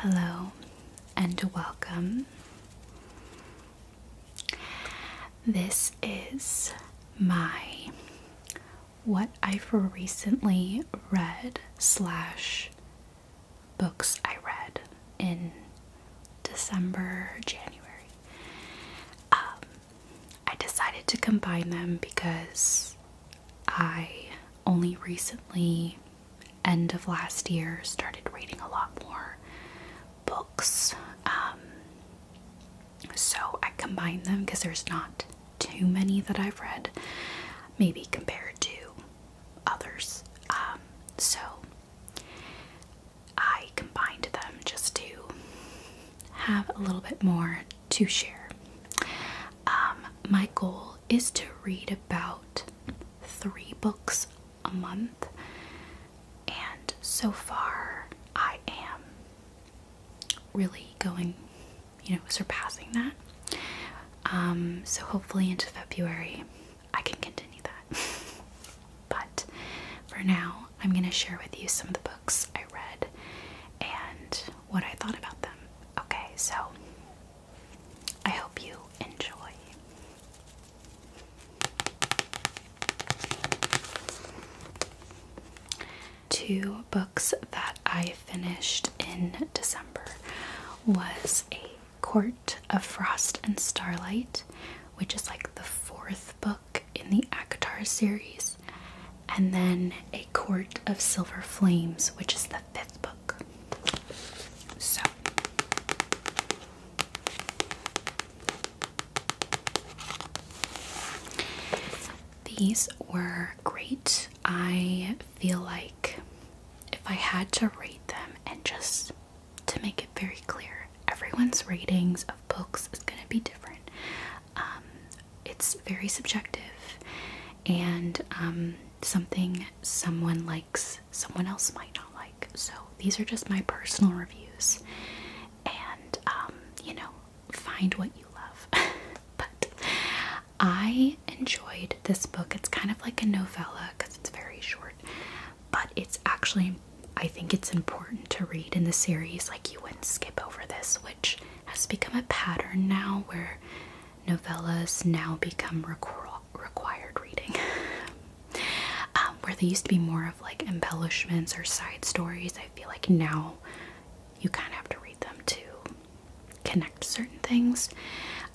Hello and welcome. This is my what I've recently read slash books I read in December, January. Um, I decided to combine them because I only recently, end of last year, started reading a lot more books. Um, so I combined them because there's not too many that I've read, maybe compared to others. Um, so I combined them just to have a little bit more to share. Um, my goal is to read about three books a month, and so far I am really going, you know, surpassing that. Um, so hopefully into February I can continue that. but for now, I'm going to share with you some of the books I read and what I thought about them. Okay, so I hope you enjoy. Two books that I finished in December was A Court of Frost and Starlight, which is like the fourth book in the Akatar series, and then A Court of Silver Flames, which is the fifth book. So, these were great. I feel like if I had to rate them, and just to make it very clear, everyone's ratings of books is going to be different. Um, it's very subjective and um, something someone likes someone else might not like so these are just my personal reviews and um, you know find what you love but i enjoyed this book it's kind of like a novella because it's very short but it's actually i think it's important to read in the series like you wouldn't skip over this which has become a pattern now where novellas now become required reading, um, where they used to be more of like embellishments or side stories. I feel like now you kind of have to read them to connect certain things.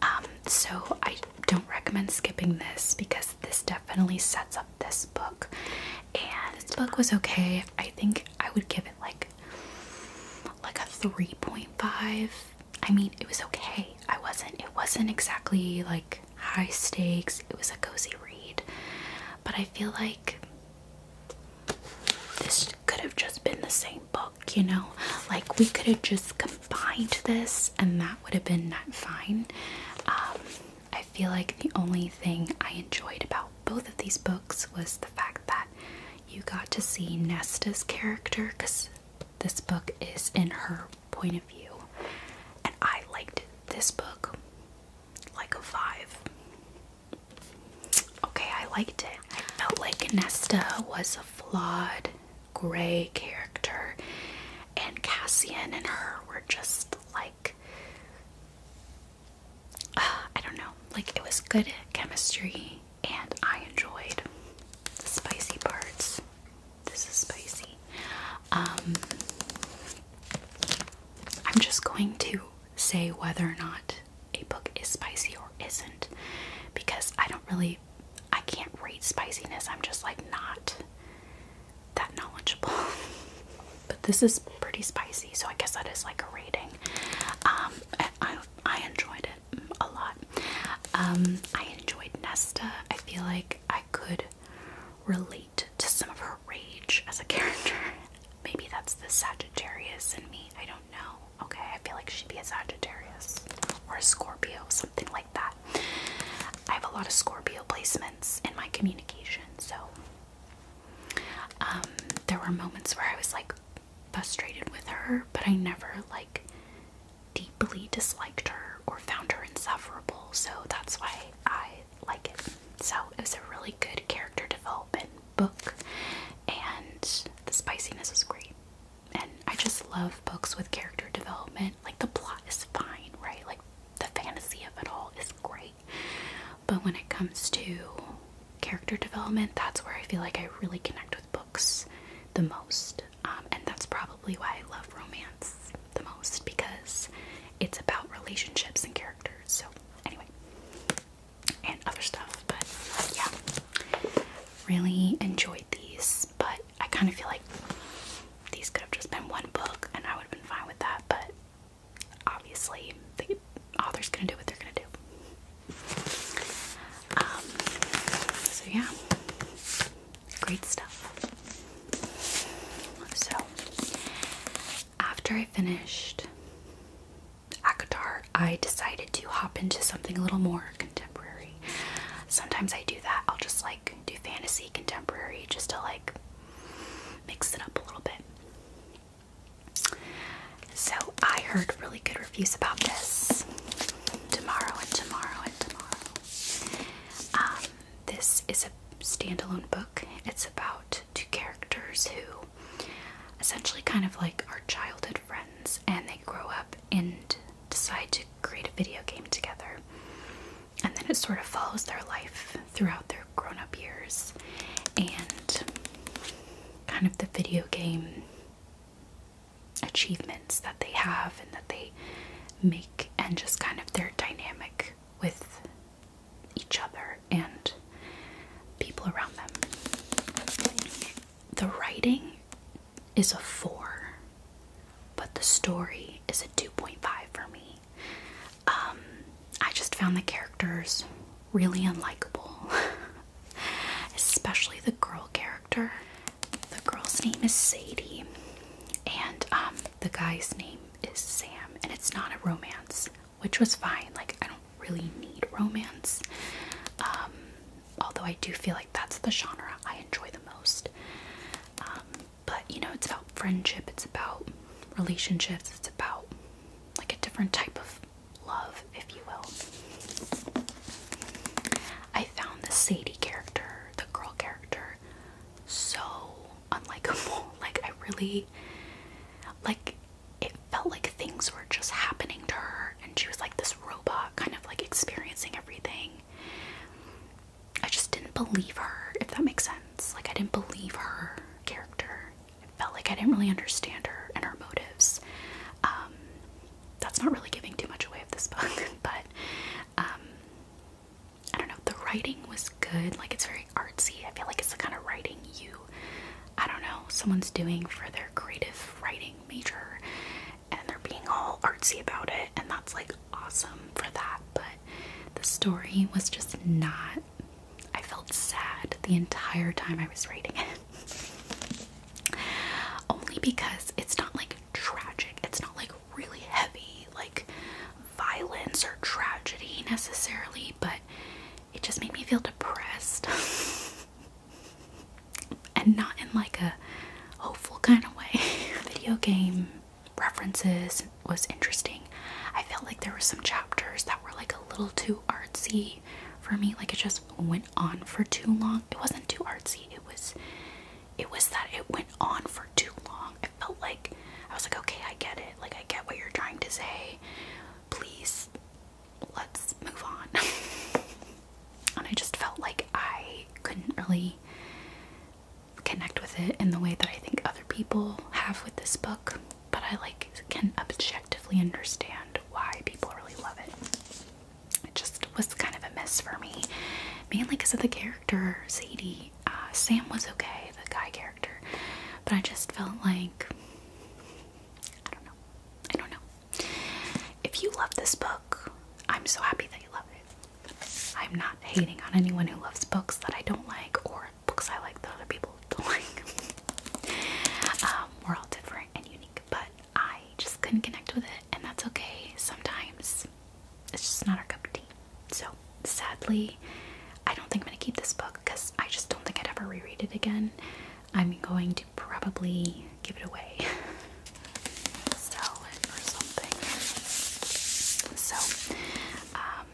Um, so I don't recommend skipping this because this definitely sets up this book. And this book was okay. I think I would give it like like a 3.5. I mean, it was okay. I wasn't it wasn't exactly like high stakes. It was a cozy read. But I feel like this could have just been the same book, you know? Like we could have just combined this and that would have been fine. Um, I feel like the only thing I enjoyed about both of these books was the fact that you got to see Nesta's character because this book is in her point of view. And I liked this book like a five. Okay, I liked it. I felt like Nesta was a flawed, gray character, and Cassian and her were just like. I don't know. Like, it was good chemistry and I enjoyed the spicy parts. This is spicy. Um, I'm just going to say whether or not a book is spicy or isn't because I don't really, I can't rate spiciness. I'm just like not that knowledgeable. but this is pretty spicy, so I guess that is like a rating. Um, I, I enjoyed it a lot. Um, I enjoyed Nesta. I feel like I could relate to some of her rage as a character. Maybe that's the Sagittarius in me. I don't know. Okay, I feel like she'd be a Sagittarius or a Scorpio, something like that. I have a lot of Scorpio placements in my communication, so um, there were moments where I was like, frustrated with her, but I never like deeply disliked her or found her insufferable, so that's why I like it. So it was a really good character development book, and the spiciness was great. And I just love books with character development. Like the plot is fine, right? Like the fantasy of it all is great. But when it comes to character development, that's where I feel like I really connect with books the most, um, and that's probably why I love romance the most because it's about relationships and characters. So, anyway, and other stuff, but yeah, really enjoyed these. But I kind of feel like these could have just been one book, and I would have been fine with that. But obviously, they author's gonna do what they're gonna do. Um, so yeah, great stuff. So after I finished ACOTAR, I decided to hop into something a little more contemporary. Sometimes I do that. I'll just like do fantasy contemporary just to like mix it up a little bit. So I heard really good reviews about this. Tomorrow and tomorrow and tomorrow. Um, this is a standalone book. It's about two characters who essentially kind of like are childhood friends and they grow up and decide to create a video game together. And then it sort of follows their life throughout their grown up years and kind of the video game achievements that they have and that they make, and just kind of their dynamic with each other and people around them. The writing is a four, but the story is a 2.5 for me. Um, I just found the characters really unlikable. especially the girl character. The girl's name is Sadie, and um, the guy's name is Sam, and it's not a romance, which was fine. Like, I don't really need romance, um, although I do feel like that's the genre I enjoy the most. Um, but you know, it's about friendship, it's about relationships, it's about like a different type of love, if you will. I found the Sadie character, the girl character, so unlikeable. Like, I really, like, it felt like things were just happening to her, and she was like this robot, kind of like experiencing everything. I just didn't believe her, if that makes sense. Like, I didn't believe her character. It felt like I didn't really understand her and her motives. Um, that's not really giving too much away of this book, but um, I don't know. The writing was good. Like it's very artsy. I feel like it's the kind of writing you, I don't know, someone's doing for their creative writing major, and they're being all artsy about it, and that's like awesome for that. But the story was just not. I felt sad the entire time I was reading it. Only because it's not like tragic, it's not like really heavy, like violence or tragedy necessarily, but it just made me feel depressed. and not in like a hopeful kind of way. Video game references was interesting. I felt like there were some chapters that were like a little too artsy for me, like it just went on for too long. It wasn't too artsy. It was it was that it went on for too long. I felt like I was like, okay, I get it. Like I get what you're trying to say. Please let's move on. and I just felt like I couldn't really connect with it in the way that I think other people have with this book, but I like can objectively understand why people really love it it just was kind of a mess for me, mainly because of the character Sadie. Uh, Sam was okay, the guy character, but I just felt like I don't know. I don't know. If you love this book, I'm so happy that you love it. I'm not hating on anyone who loves books that I don't like or books I like that other people don't like. Um, we're all different and unique, but I just couldn't connect with it, and that's okay. Sometimes it's just not our cup of tea. So, sadly, I don't think I'm gonna keep this book because I just don't think I'd ever reread it again. I'm going to probably give it away, sell or something. So, um,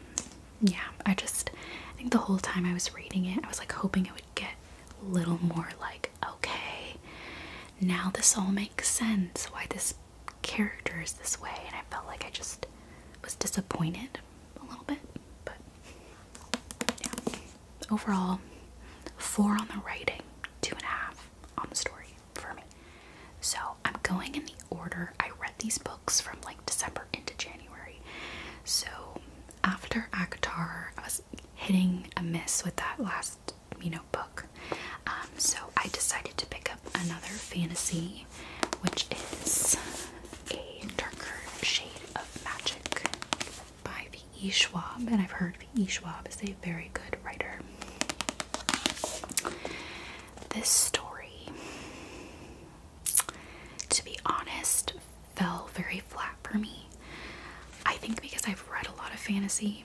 yeah, I just I think the whole time I was reading it, I was like hoping it would get a little more like okay, now this all makes sense why this character is this way. And I felt like I just was disappointed a little bit. But yeah. Overall, four on the writing, two and a half on the story for me. So I'm going in the order I read these books from like December into January. So after Akatar, I was hitting a miss with that last, you know, book. Um, so I decided to pick up another fantasy, which is a darker shade of magic by V.E. Schwab, and I've heard V.E. Schwab is a very good writer. This story, to be honest, fell very flat for me. I think because I've read a lot of fantasy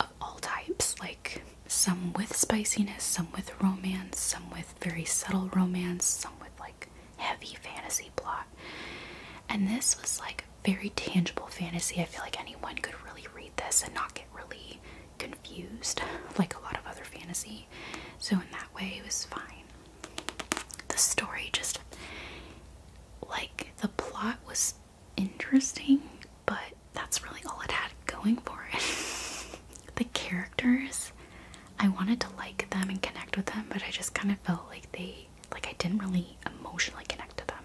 of all types, like some with spiciness, some with romance, some with very subtle romance, some with like heavy fantasy plot. And this was like very tangible fantasy. I feel like anyone could really read this and not get really confused, like a lot of other fantasy. So, in that way, it was fine. The story just like the plot was interesting, but that's really all it had going for it. the characters, I wanted to like them and connect with them, but I just kind of felt like they like I didn't really emotionally connect to them.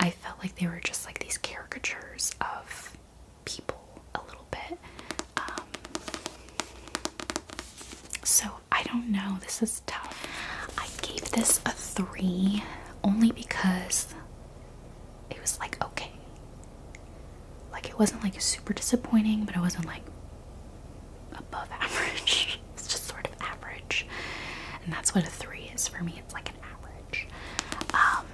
I felt like they were just like these caricatures of people a little bit. Um, so I don't know. This is tough. I gave this a three only because it was like okay. Like it wasn't like super disappointing, but it wasn't like above average. it's just sort of average. And that's what a three is for me. It's like an average. Um,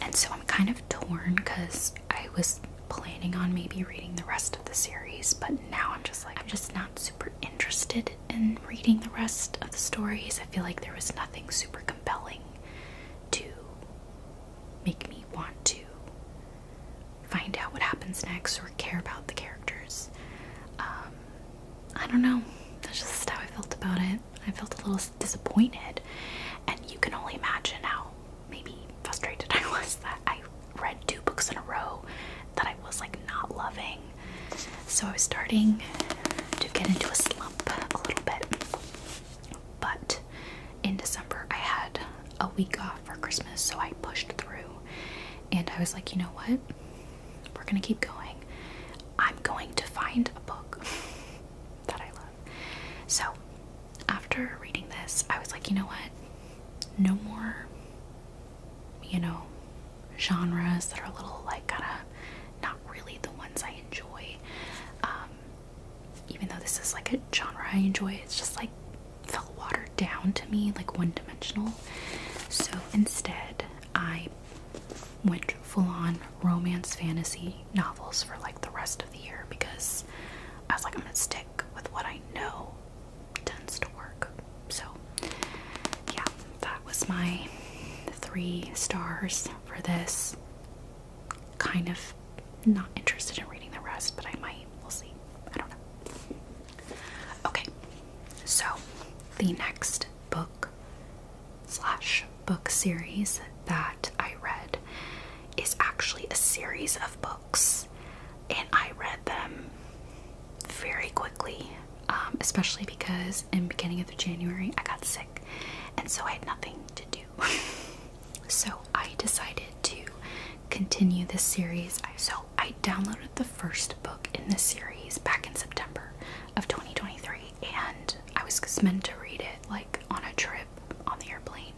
and so I'm kind of torn because I was planning on maybe reading the rest of the series, but now I'm just like, I'm just not super super interested in reading the rest of the stories. I feel like there was nothing super compelling to make me want to find out what happens next or care about the characters. Um, I don't know. That's just how I felt about it. I felt a little disappointed, and you can only imagine how maybe frustrated I was that I read two books in a row that I was like not loving. So I was starting to get into a slump a little bit. But in December, I had a week off for Christmas, so I pushed through and I was like, you know what? We're gonna keep going. I'm going to find a book that I love. So after reading this, I was like, you know what? No more you know, genres that are a little like kind of not really the ones I enjoy. Um, even though this is like a genre I enjoy, it's just like felt watered down to me, like one dimensional. So instead, I went full on romance fantasy novels for like the rest of the year because I was like, I'm gonna stick with what I know tends to work. So, yeah, that was my three stars for this. Kind of not interested in reading the rest, but I might. We'll see. I don't know. Okay, so the next book slash book series that I read is actually a series of books and I read them very quickly, um, especially because in beginning of January I got sick, and so I had nothing to do. so I decided to continue this series. so I downloaded the first book in this series back in September of 2023, and I was just meant to read it like on a trip on the airplane.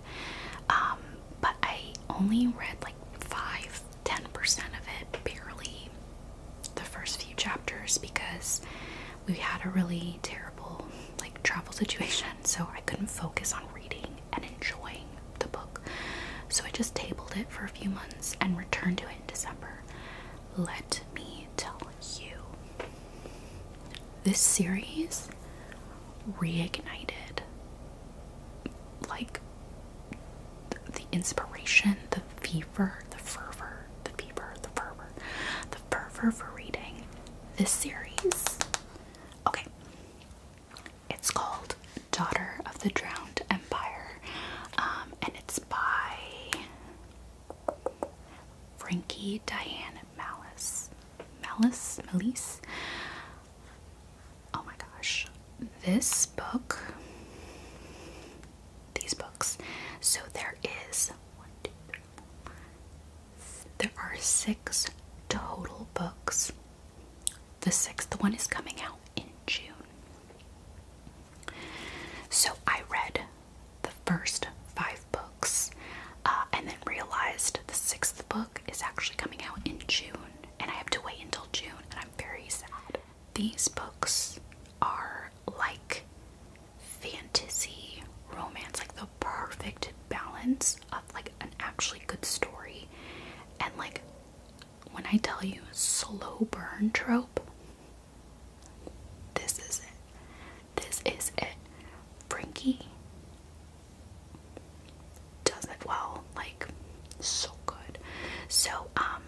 Um, but I only read like five 10% of it, barely the first few chapters because we had a really terrible like travel situation, so I couldn't focus on reading and enjoying the book. So I just tabled it for a few months and returned to it in December. Let me tell you. This series reignited like the inspiration, the fever, the fervor, the fever, the fervor, the fervor for reading this series. Okay. It's called Daughter of the Drowned Empire, um, and it's by Frankie Diane Malice. Malice? Malice? oh my gosh, this book, these books. So there is one, there are six total books. The sixth one is coming out in June. So I read the first five books uh, and then realized the sixth book is actually coming out in June and I have to wait until June, and I'm very sad. These books are like fantasy romance, like the perfect balance of like an actually good story and like when I tell you slow burn trope, this is it. This is it. Frankie does it well, like so good. So um,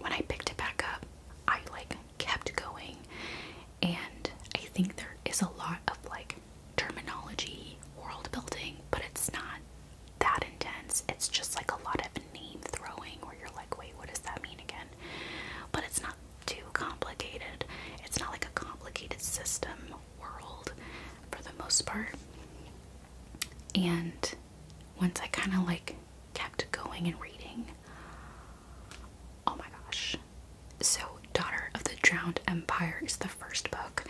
when I picked it back up, I like kept going and I think there is a lot of like terminology, world building, but it's not that intense. It's just like a lot of name throwing where you're like, wait, what does that mean again? But it's not too complicated. It's not like a complicated system world for the most part. And once I kind of like kept going and reading, oh my gosh. So, Daughter of the Drowned Empire is the first book,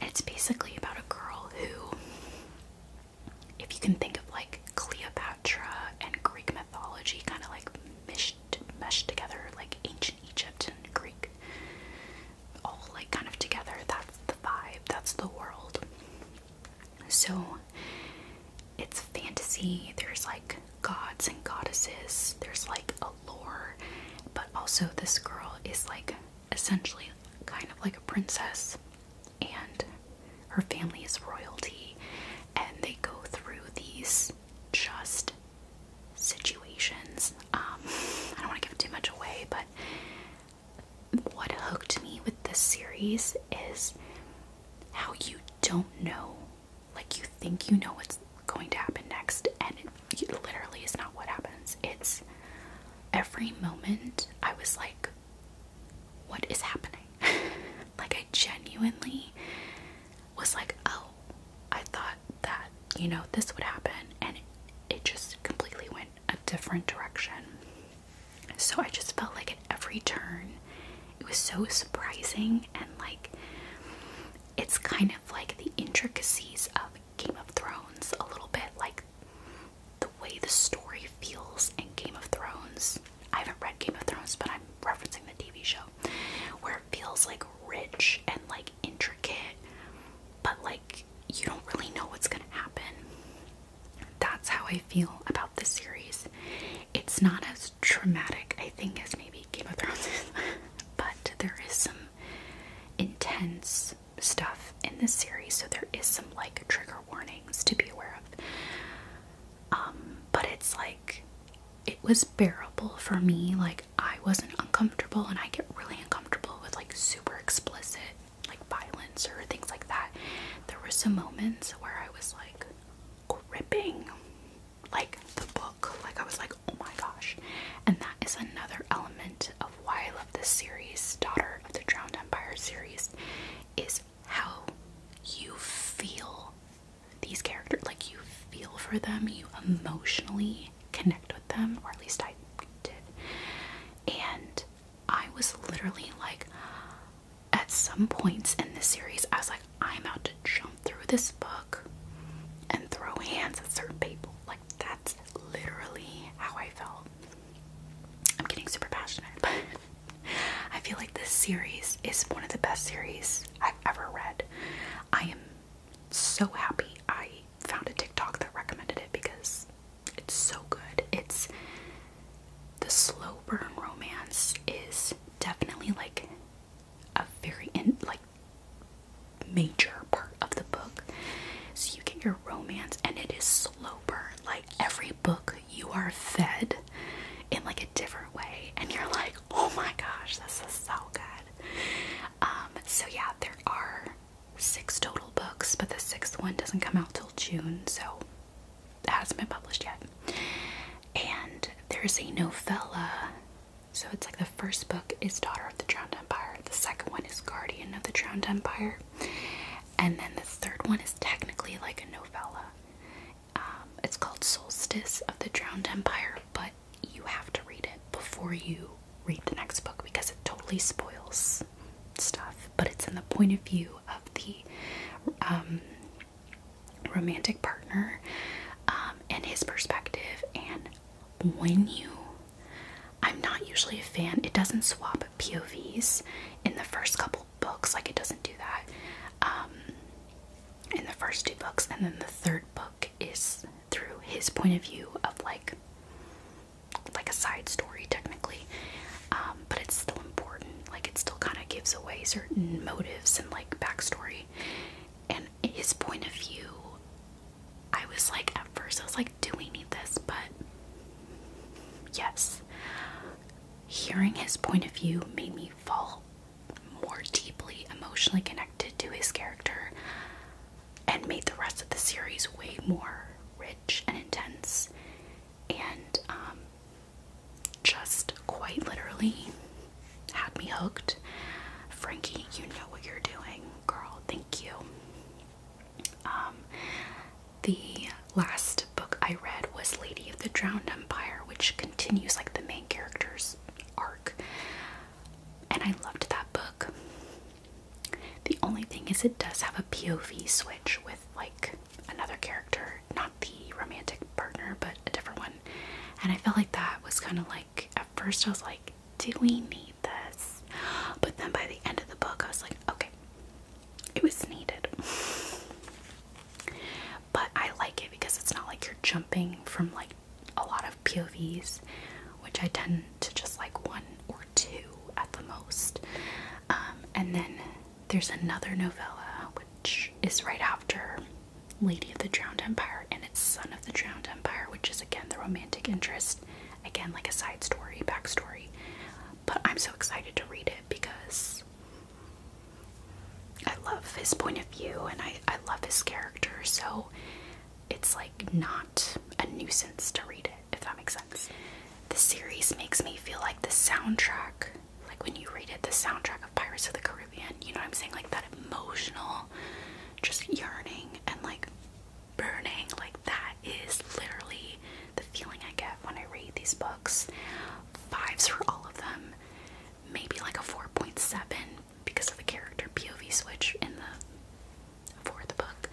and it's basically about a girl who, if you can think of like Cleopatra and Greek mythology, kind of like meshed, meshed together, like ancient Egypt and Greek all like kind of together. That's the vibe, that's the world. So it's fantasy, there's like gods and goddesses, there's like a lore, but also this girl is like essentially kind of like a princess, and her family is royalty, and they go through these just situations. Um, I don't want to give too much away, but what hooked me with this series is how you don't know. Like, you think you know what's going to happen next, and it, literally is not what happens. It's every moment I was like, what is happening? like, I genuinely was like, oh, I thought that, you know, this would happen, and it just completely went a different direction. So I just felt like at every turn, it was so surprising and like it's kind of like the intricacies of Game of Thrones a little bit, like the way the story feels in Game of Thrones. I haven't read Game of Thrones, but I'm referencing the TV show where it feels like rich and like intricate, but like you don't really know what's gonna happen that's how I feel about this series. It's not as traumatic, I think, as maybe Game of Thrones is, but there is some intense stuff in this series, so there is some like trigger warnings to be aware of. Um, but it's like it was bearable for me, like I wasn't uncomfortable, and I get really uncomfortable with like super explicit like violence or things like that, there were some moments where I was like gripping like the book. Like I was like, oh my gosh. And that is another element of why I love this series, Daughter of the Drowned Empire series, is how you feel these characters. Like you feel for them, you emotionally connect with them, or at least I did. And I was literally like, at some points in this series, I was like, I'm about to jump through this book and throw hands at certain people. Like, that's literally how I felt. I'm getting super passionate, but I feel like this series is one of the best series I've ever read. I am so happy I found a TikTok that recommended it because it's so good. It's the slow burn romance is definitely like a very in like major part of the book. So you get your romance and it is slow burn. Like every book you are fed in like a different way and you're like, oh my gosh, this is so good. Um so yeah, there are six total books, but the sixth one doesn't come out till June, so it hasn't been published yet. And there's a novella, so it's like the first book is Daughter of the Drowned Empire, the second one is Guardian of the Drowned Empire, and then the third one is technically like a novella. Um, it's called Solstice of the Drowned Empire, but you have to read it before you read the next book because it totally spoils stuff, but it's in the point of view of the um, romantic partner um, and his perspective. And when you, I'm not usually a fan, it doesn't swap POVs in the first couple books, like it doesn't do that um, in the first two books, and then the third book is through his point of view of like like a side story technically, um, but it's still important. Like it still kind of gives away certain motives and like backstory. And his point of view, I was like at first I was like, do we need this? But yes, hearing his point of view made me fall more deeply emotionally connected to his character and made the rest of the series way more rich and intense and um, just quite literally had me hooked. Frankie, you know what you're doing, girl. Thank you. Um, the last book I read was Lady of the Drowned Empire, which continues like the main character's arc, and I loved that book. The only thing is, it does have a POV switch with like another character, not the romantic partner, but a different one. And I felt like that was kind of like at first I was like, do we need this? But then by the end of the book, I was like, okay, it was needed. But I like it because it's not like you're jumping from like a lot of POVs, which I tend to just like one or two at the most. Um, and then there's another novella which is right after Lady of the Drowned Empire and it's Son of the Drowned Empire, which is again the romantic interest, again, like a side story, backstory. But I'm so excited to read it because I love his point of view and I, I love his character, so it's like not a nuisance to read it, if that makes sense. The series makes me feel like the soundtrack, like when you read it, the soundtrack of Pirates of the Caribbean, you know what I'm saying? Like that emotional, just yearning and like burning. Like that is literally the feeling I get when I read these books. Fives for all of them, maybe like a 4.7 because of the character POV switch in the for the book,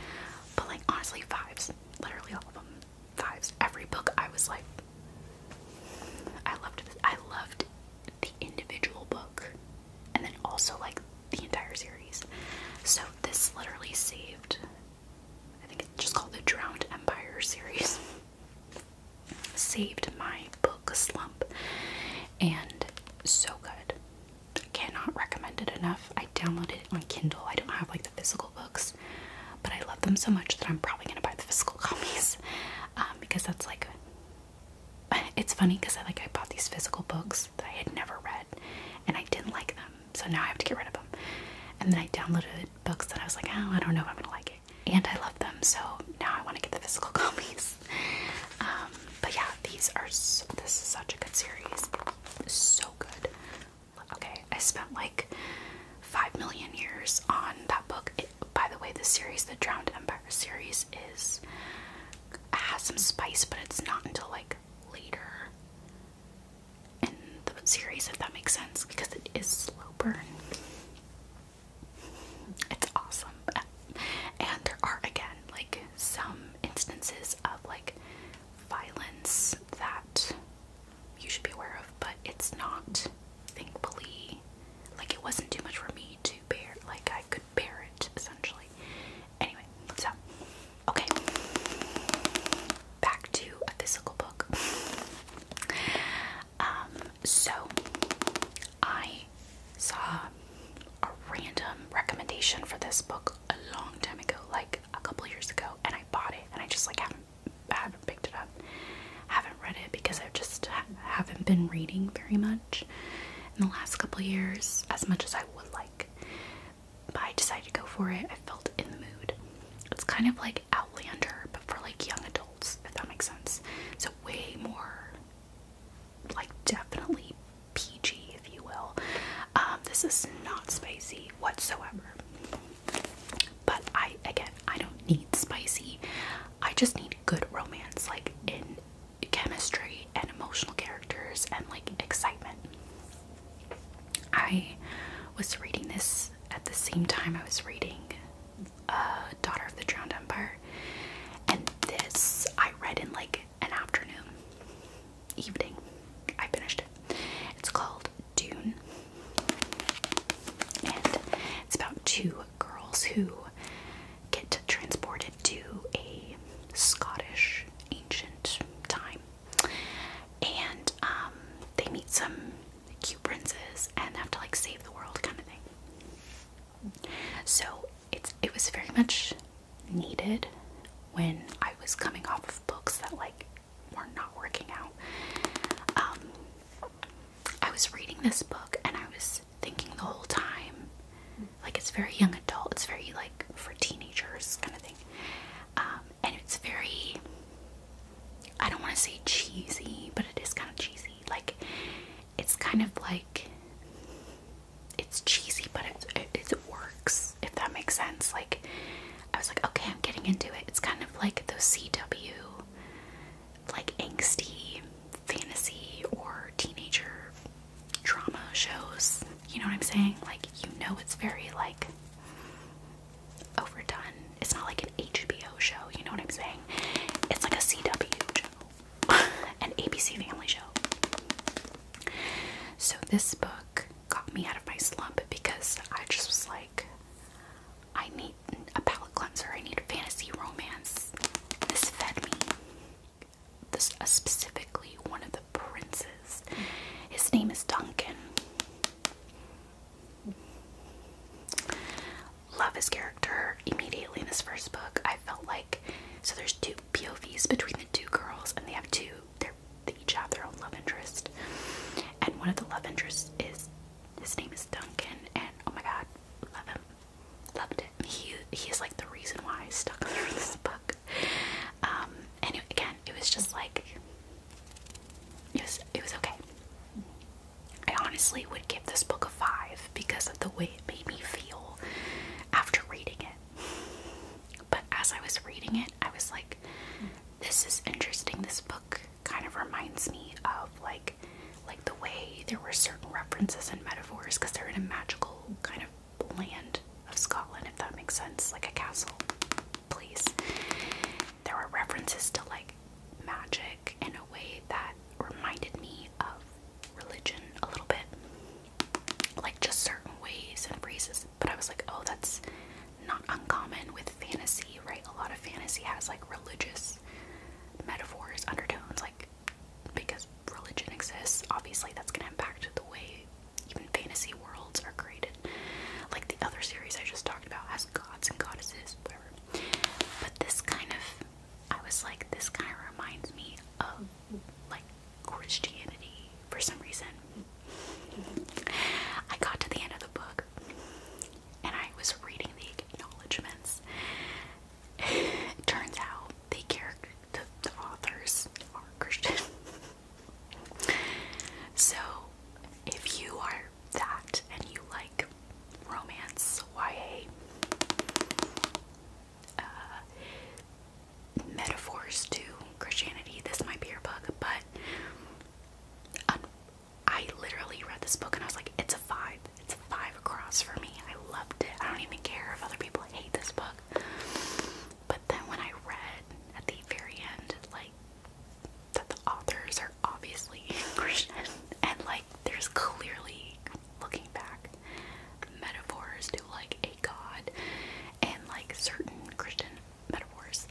but like honestly, fives. Literally all of them fives. Every book I was like, I loved. I loved the individual book, and then also like the entire series. So this literally saved. I think it's just called the Drowned Empire series. Saved my book slump and so good. Cannot recommend it enough downloaded it on Kindle. I don't have like the physical books, but I love them so much that I'm probably gonna buy the physical copies um, because that's like it's funny because I like I bought these physical books that I had never read and I didn't like them, so now I have to get rid of them. And then I downloaded books that I was like, oh, I don't know if I'm gonna like it, and I love them, so now I want to get the physical copies. Um, but yeah, these are this is such a good series, so good. Okay, I spent like five million years on that book. by the way, the series, the Drowned Empire series, is has some spice, but it's not until like later in the series, if that makes sense, because it is slow burn. It's awesome, and there are again like some instances of like violence that you should be aware of, but it's not, thankfully, like it wasn't too much for me to bear. Like I could bear it, essentially. Anyway, so, okay. Back to a physical book. Um, so, I saw a random recommendation for this book a long time ago, like a couple years ago, and I bought it, and I just like haven't haven't picked it up, haven't read it because I just haven't been reading very much in the last couple years as much as I would like. But I decided to go for it. I felt in the mood. It's kind of like Outlander, but for like young adults, if that makes sense. So way more, like definitely PG if you will. Um, this is not spicy whatsoever. But I, again, I don't need spicy. I just need good romance, like in chemistry and emotional characters and like excitement. I was reading this at the same time I was reading uh, Daughter of the Drowned Empire, and this I read in like an afternoon evening. I finished it. It's called Dune, and it's about two girls who get transported to a Scottish ancient time, and um, they meet some cute princes and have to like save the world kind of thing. So it's it was very much needed when I was coming off of books that like were not working out. Um, I was reading this book and I was thinking the whole time, like it's very young adult, it's very like for teenagers kind of thing, um, and it's very. I don't want to say cheesy, but it is kind of cheesy. Like it's kind of like it's cheesy, but it works if that makes sense. Like, I was like, okay, I'm getting into it. It's kind of like those CW, like angsty fantasy or teenager drama shows. You know what I'm saying? Like, you know, it's very like overdone. It's not like an HBO show. You know what I'm saying? It's like a CW show, an ABC Family show. So this book got me out of my slump because I just was like, I need a palate cleanser, I need a fantasy romance. This fed me. This uh, specifically one of the princes. His name is Duncan. Love his character immediately in this first book. I felt like so there's two POVs between the two girls and they have two they're they each have their own love interest. And one of the love interests is his name is Duncan and oh my god, love him. Loved it. He he is like the reason why I stuck through this book. Um and again it was just like it was it was okay. I honestly would give this book a five because of the way it made me feel after reading it. But as I was reading it, I was like, this is interesting. This book kind of reminds me of like like the way there were certain references and metaphors because they're in a magical kind of land of Scotland, if that makes sense, like a castle place. There were references to like magic in a way that reminded me of religion a little bit. Like just certain ways and phrases but I was like, oh, that's not uncommon with fantasy, right? A lot of fantasy has like religious metaphors, undertones, like because religion exists, obviously that's gonna impact the way even fantasy worlds are created. Like the other series I just talked about has gods and goddesses, But this kind of I was like, this kind of reminds me of like Christianity for some reason. I got to the end of the book and I was reading the acknowledgments. turns out the character, the, authors are Christian. so, if you are that and you like romance, YA, uh, metaphors to Christianity, this might be your book, but um, I literally read this book and I was like, it's a five. It's a five across for me. I loved it. I don't even care if other people hate this book. But then when I read at the very end, like, that the authors are obviously Christian and, like, there's clearly, looking back, metaphors to, like, a god and, like, certain Christian metaphors.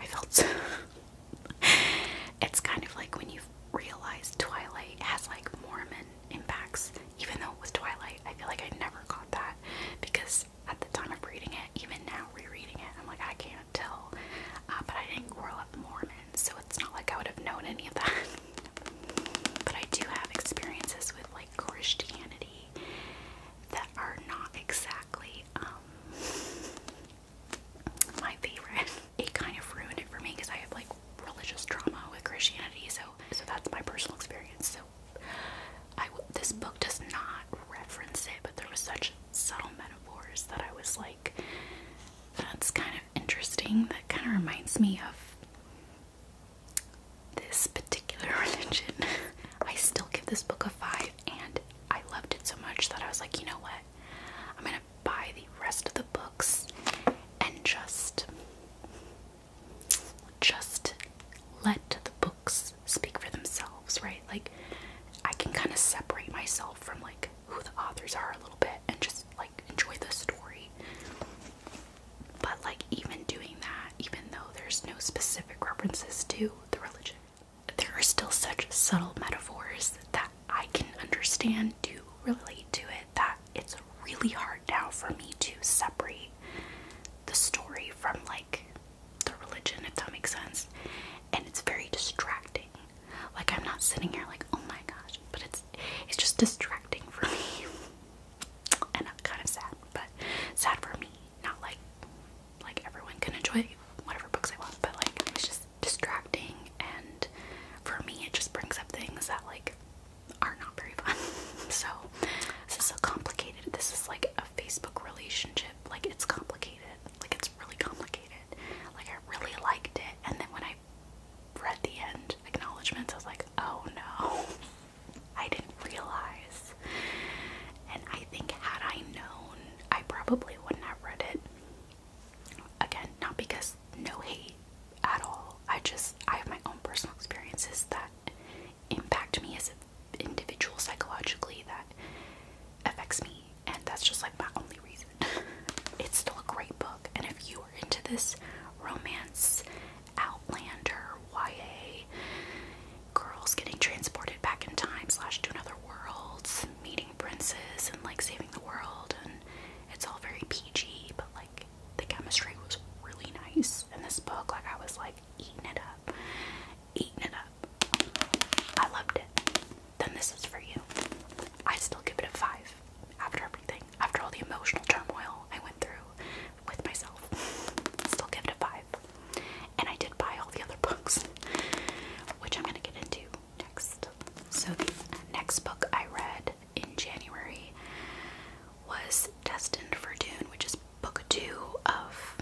I felt it's kind of like when you realize Twilight has like Mormon impacts. Even though it was Twilight, I feel like I never got that because at the time of reading it, even now rereading it, I'm like I can't tell. Uh, but I didn't grow up Mormon, so it's not like I would have known any of that. but I do have experiences with like Christianity that are not exactly um, my favorite. It kind of ruined it for me because I have like religious trauma with Christianity, so so that's my personal experience. So I w this book does not reference it, but there was such subtle metaphors that I was like, that's kind of interesting. That kind of reminds me of this particular religion. I still give this book a 5 and I loved it so much that I was like, you know what? I'm gonna buy the rest of the books and just just let the books speak for themselves, right? Like I can kind of separate myself from like who the authors are a little bit and just like enjoy the story. But like even doing that, even though there's no specific references to the religion. There are still such subtle metaphors that I can understand do relate to it that it's really hard now for me to separate the story from like the religion, if that makes sense. And it's very distracting. Like I'm not sitting here like, oh my gosh, but it's it's just distracting for me. and I'm kind of sad, but sad for me not like like everyone can enjoy whatever books I want, but like it was just distracting and for me it just brings up things that like are not very fun. so this is so complicated. This is like a Facebook relationship. Like it's complicated. Like it's really complicated. Like I really liked it and then when I read the end acknowledgements I was like, oh no. I didn't realize. And I think had I known, I probably wouldn't have read it. Again, not because no hate at all. I just I have my own personal experiences that impact me as an individual psychologically that affects me and that's just like my only reason. it's still a great book and if you are into this romance outlander YA girls getting transported back in time slash to another world, meeting princes and like saving the world and it's all very PG but like the chemistry was really nice in this book. Like I was like eating it up. Eating it up. I loved it. Then this is for you. I still give it a five after everything. After all the emotional turmoil I went through with myself. Still give it a five. And I did buy all the other books, which I'm going to get into next. So, the next book I read in January was Destined for Dune, which is book two of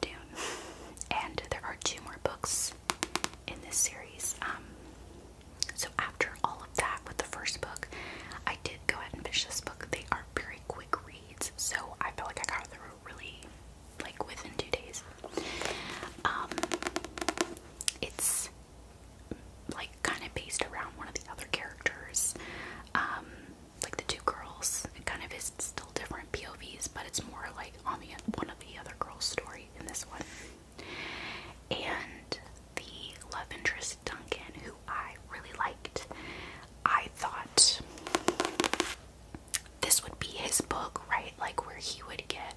Dune. And there are two more books in this series. Um, so, after all of that, with the first book, I did go ahead and finish this book. They are very quick reads so I felt like I got through really like within two days. Um, it's like kind of based around one of the other characters, um, like the two girls. It kind of is still different POVs, but it's more like on the one of the other girls' story in this one. And the love interest Duncan, who I really liked, I thought this would be his book, right? Like where he would get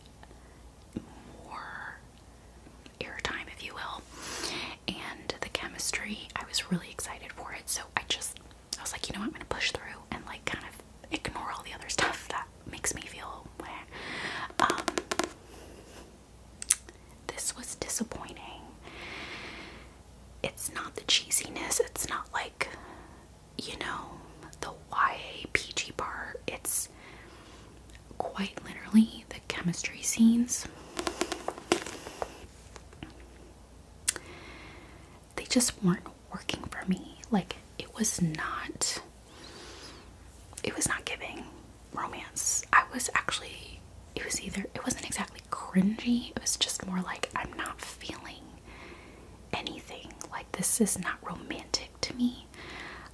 more airtime, if you will. And the chemistry, I was really excited for it. So I just, I was like, you know what, I'm going to push through and like kind of ignore all the other stuff that makes me feel um, this was disappointing it's not the cheesiness, it's not like, you know, the YA PG part. It's quite literally the chemistry scenes. They just weren't working for me. Like it was not it was not giving romance. I was actually it was either it wasn't exactly cringy, it was just more like I'm not feeling anything. Like, this is not romantic to me.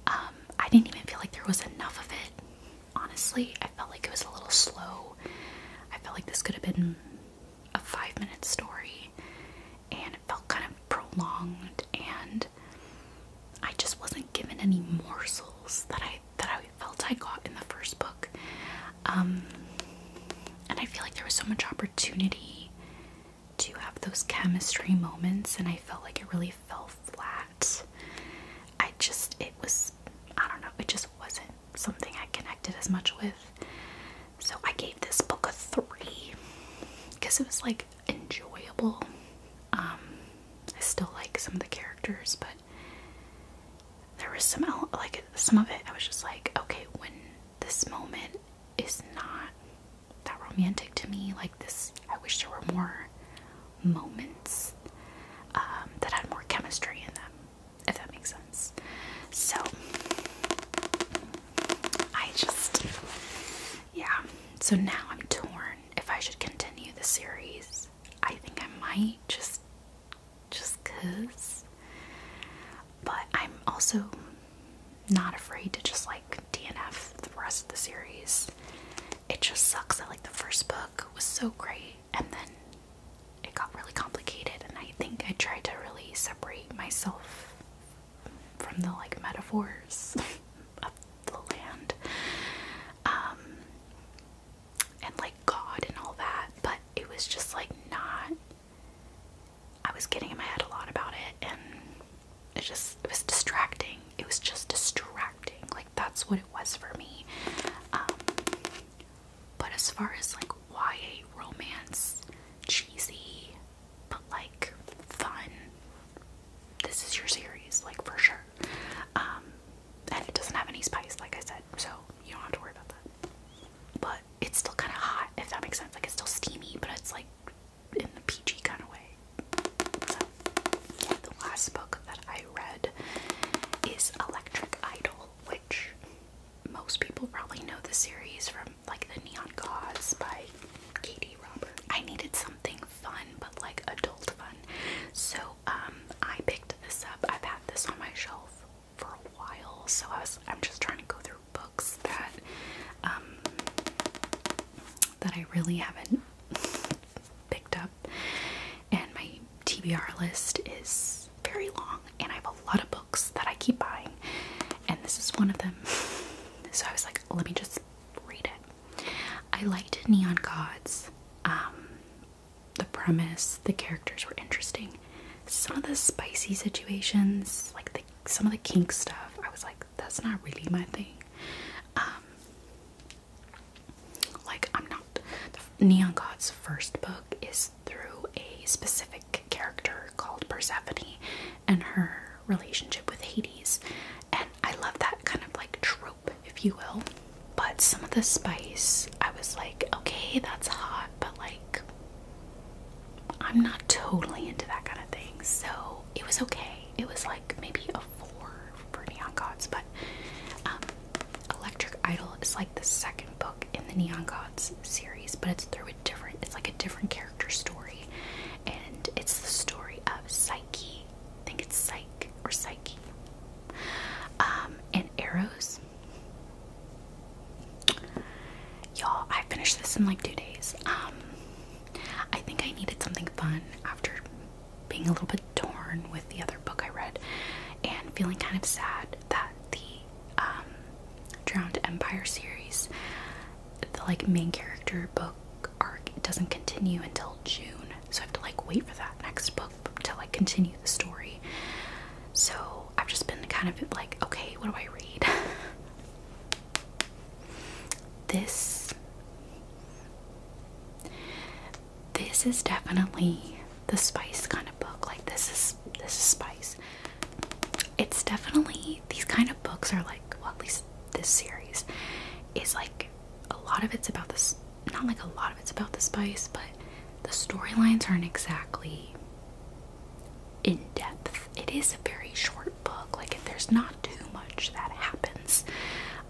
Um, I didn't even feel like there was enough of it. Honestly, I felt like it was a little slow. I felt like this could have been a five minute story, and it felt kind of prolonged, and I just wasn't given any morsels that I that I felt I got in the first book. Um, and I feel like there was so much opportunity to have those chemistry moments, and I felt like it really fell flat. I just, it was, I don't know, it just wasn't something I connected as much with. So I gave this book a three because it was like enjoyable. Um, I still like some of the characters, but there was some like some of it I was just like, okay, when this moment is not that romantic to me, like this, I wish there were more moments um, that had more chemistry in them, if that makes sense. So I just, yeah. So now I'm torn if I should continue the series. I think I might just just cuz. But I'm also not afraid to just like DNF the rest of the series. It just sucks I like the first book was so great and then it got really complicated and I think I tried to really separate myself from the like metaphors of the land. Um, and like God and all that, but it was just like not I was getting in my head a lot about it and it just it was distracting. It was just distracting. Like that's what it was for me. Um but as far as like YA romance, cheesy, but like fun, this is your series, like for sure. Um and it doesn't have any spice, like I said, so you don't have to worry about that. But it's still kind of hot, if that makes sense. Like it's still steamy, but it's like in the peachy kind of way. the last book that I read is Electric Idol, which most people probably know the series from like The Neon Gods by Katie Roberts. I needed something fun, but like adult fun. So, um, I picked this up. I've had this on my shelf for a while, so I was I'm just trying to go through books that um, that I really haven't picked up. And my TBR list is very long and I have a lot of books that I keep buying and this is one of them. So I was like, let me just read it. I liked Neon Gods. Um, the premise, the characters were interesting some of the spicy situations, like the some of the kink stuff, I was like, that's not really my thing. Um, like I'm not. Neon God's first book is through a specific character called Persephone and her relationship with Hades, and I love that kind of like trope, if you will. But some of the spice, I was like, okay, that's hot, but like, I'm not totally into that kind of thing, so it was okay. It was like maybe a four for Neon Gods, but um, Electric Idol is like the second book in the Neon Gods series, but it's through a different, it's like a different character story, and it's the story of Psyche. I think it's Psyche or Psyche. Um, and Arrows. Y'all, I finished this in like two days. Um, I think I needed something fun after being a little bit torn with the other book I read and feeling kind of sad that the um, Drowned Empire series, the like main character book arc, doesn't continue until June. So I have to like wait for that next book to like continue the story. So I've just been kind of like, okay, what do I read? this this is definitely the spice kind of book. Like this is this is spice. It's definitely these kind of books are like well at least this series is like a lot of it's about this not like a lot of it's about the spice, but the storylines aren't exactly in depth. It is a very short book, like, there's not too much that happens.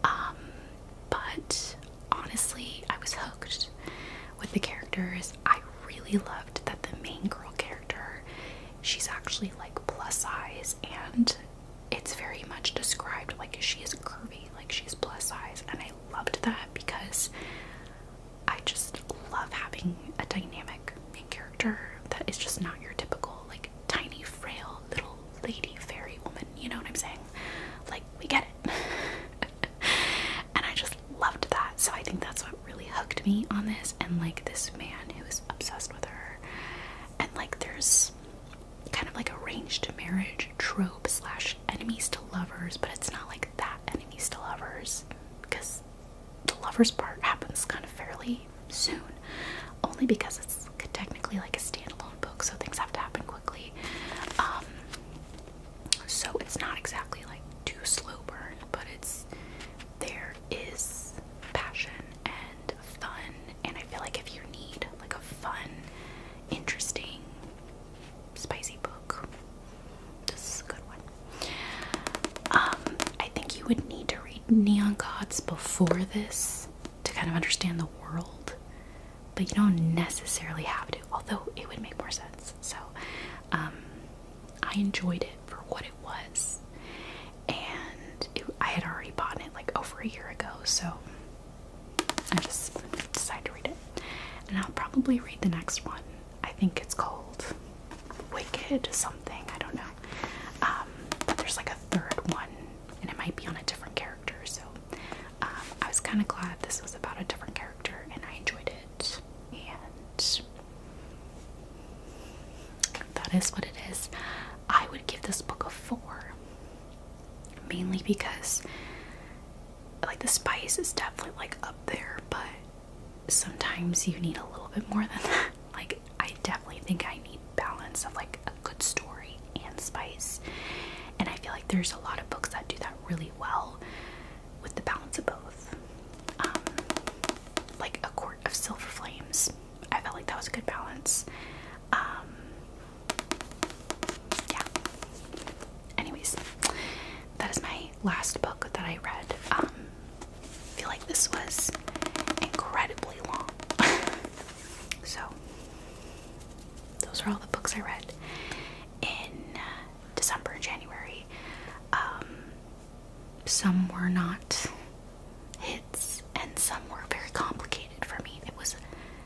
Um, but honestly, I was hooked with the characters. I really loved that the main girl character, she's actually like plus size, and it's very much described like she is curvy, like she's plus size, and I loved that because I just love having a dynamic main character that is just not your typical, like, tiny, frail little lady fairy woman. You know what I'm saying? Like, we get it. and I just loved that. So I think that's what really hooked me on this. And, like, this man who is obsessed with her. And, like, there's kind of like arranged marriage trope slash enemies to lovers, but it's not like that enemies to lovers because the lovers part happens kind of fairly soon, only because it's technically like a standalone book, so things have to happen quickly. Um, so it's not exactly like too slow burn, but it's there is passion and fun, and I feel like if you need like a fun, interesting spicy book. This is a good one. Um, I think you would need to read Neon Gods before this to kind of understand the world, but you don't necessarily have to, although it would make more sense. So, um, I enjoyed it for what it was, and I had already bought it like over a year ago, so I just decided to read it. And I'll probably read the next one I think it's called Wicked something, I don't know. Um, but there's like a third one, and it might be on a different character, so um, I was kind of glad this was about a different character and I enjoyed it. And that is what it is. I would give this book a four, mainly because like the spice is definitely like up there, but sometimes you need a little bit more than that. Like, I definitely think I need balance of like a good story and spice. And I feel like there's a lot of books that do that really well with the balance of both. Um, like A Court of Silver Flames. I felt like that was a good balance. Um, yeah anyways, that is my last book that I read. Um, I feel like this was incredibly long. so, those are all the books I read in uh, December and January. Um, some were not hits, and some were very complicated for me. It was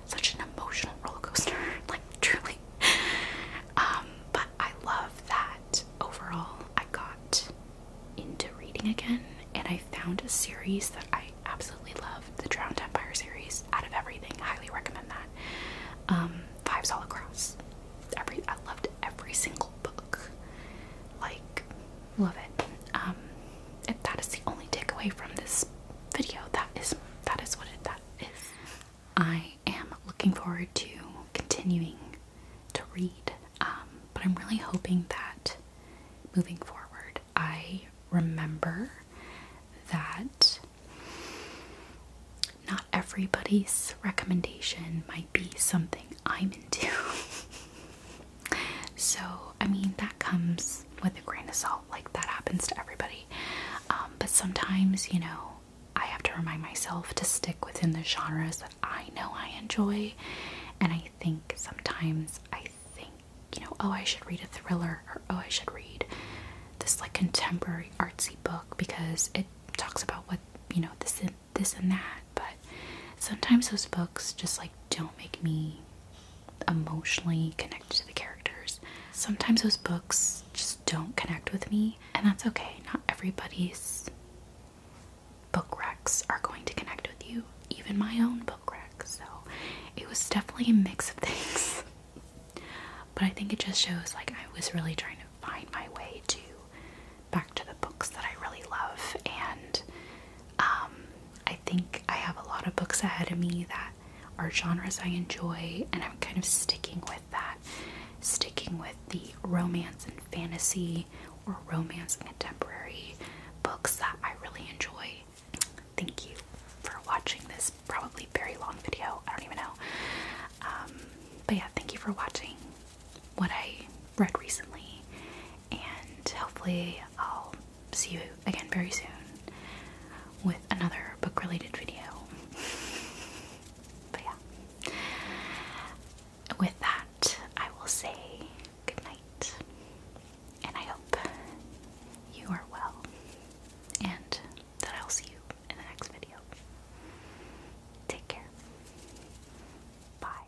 such an emotional roller coaster, like truly. Um, but I love that but overall, I got into reading again and I found a series that I absolutely love the Drowned Empire series out of everything. Highly recommend that. Um, Fives all across. Every I loved every single book. Like, love it. Um, if that is the only takeaway from this video, that is that is what it that is. I I am looking forward to continuing to read, um, but I'm really hoping that moving forward, I remember that not everybody's recommendation might be something I'm into. so, I mean, that comes with a grain of salt, like that happens to everybody. Um, but sometimes, you know, I have to remind myself to stick within the genres that I know I enjoy. And I think sometimes I think, you know, oh, I should read a thriller or oh, I should read this like contemporary artsy book because it talks about what, you know, this and this and that. But sometimes those books just like don't make me emotionally connected to the characters. Sometimes those books just don't connect with me, and that's okay. Not everybody's book recs are going to connect with you, even my own book rec. So it was definitely a mix of things, but I think it just shows like I was really trying to find my way to back to the books that I really love, and um, I think I have a lot of books ahead of me that are genres I enjoy, and I'm kind of sticking with that sticking with the romance and fantasy or romance and contemporary books that I really enjoy. Thank you for watching this probably very long video. I don't even know. Um, but yeah, thank you for watching what I read recently, and hopefully, I'll see you again very soon with another book related video. But yeah. With that, I will say good and I hope you are well, and that I'll see you in the next video. Take care. Bye.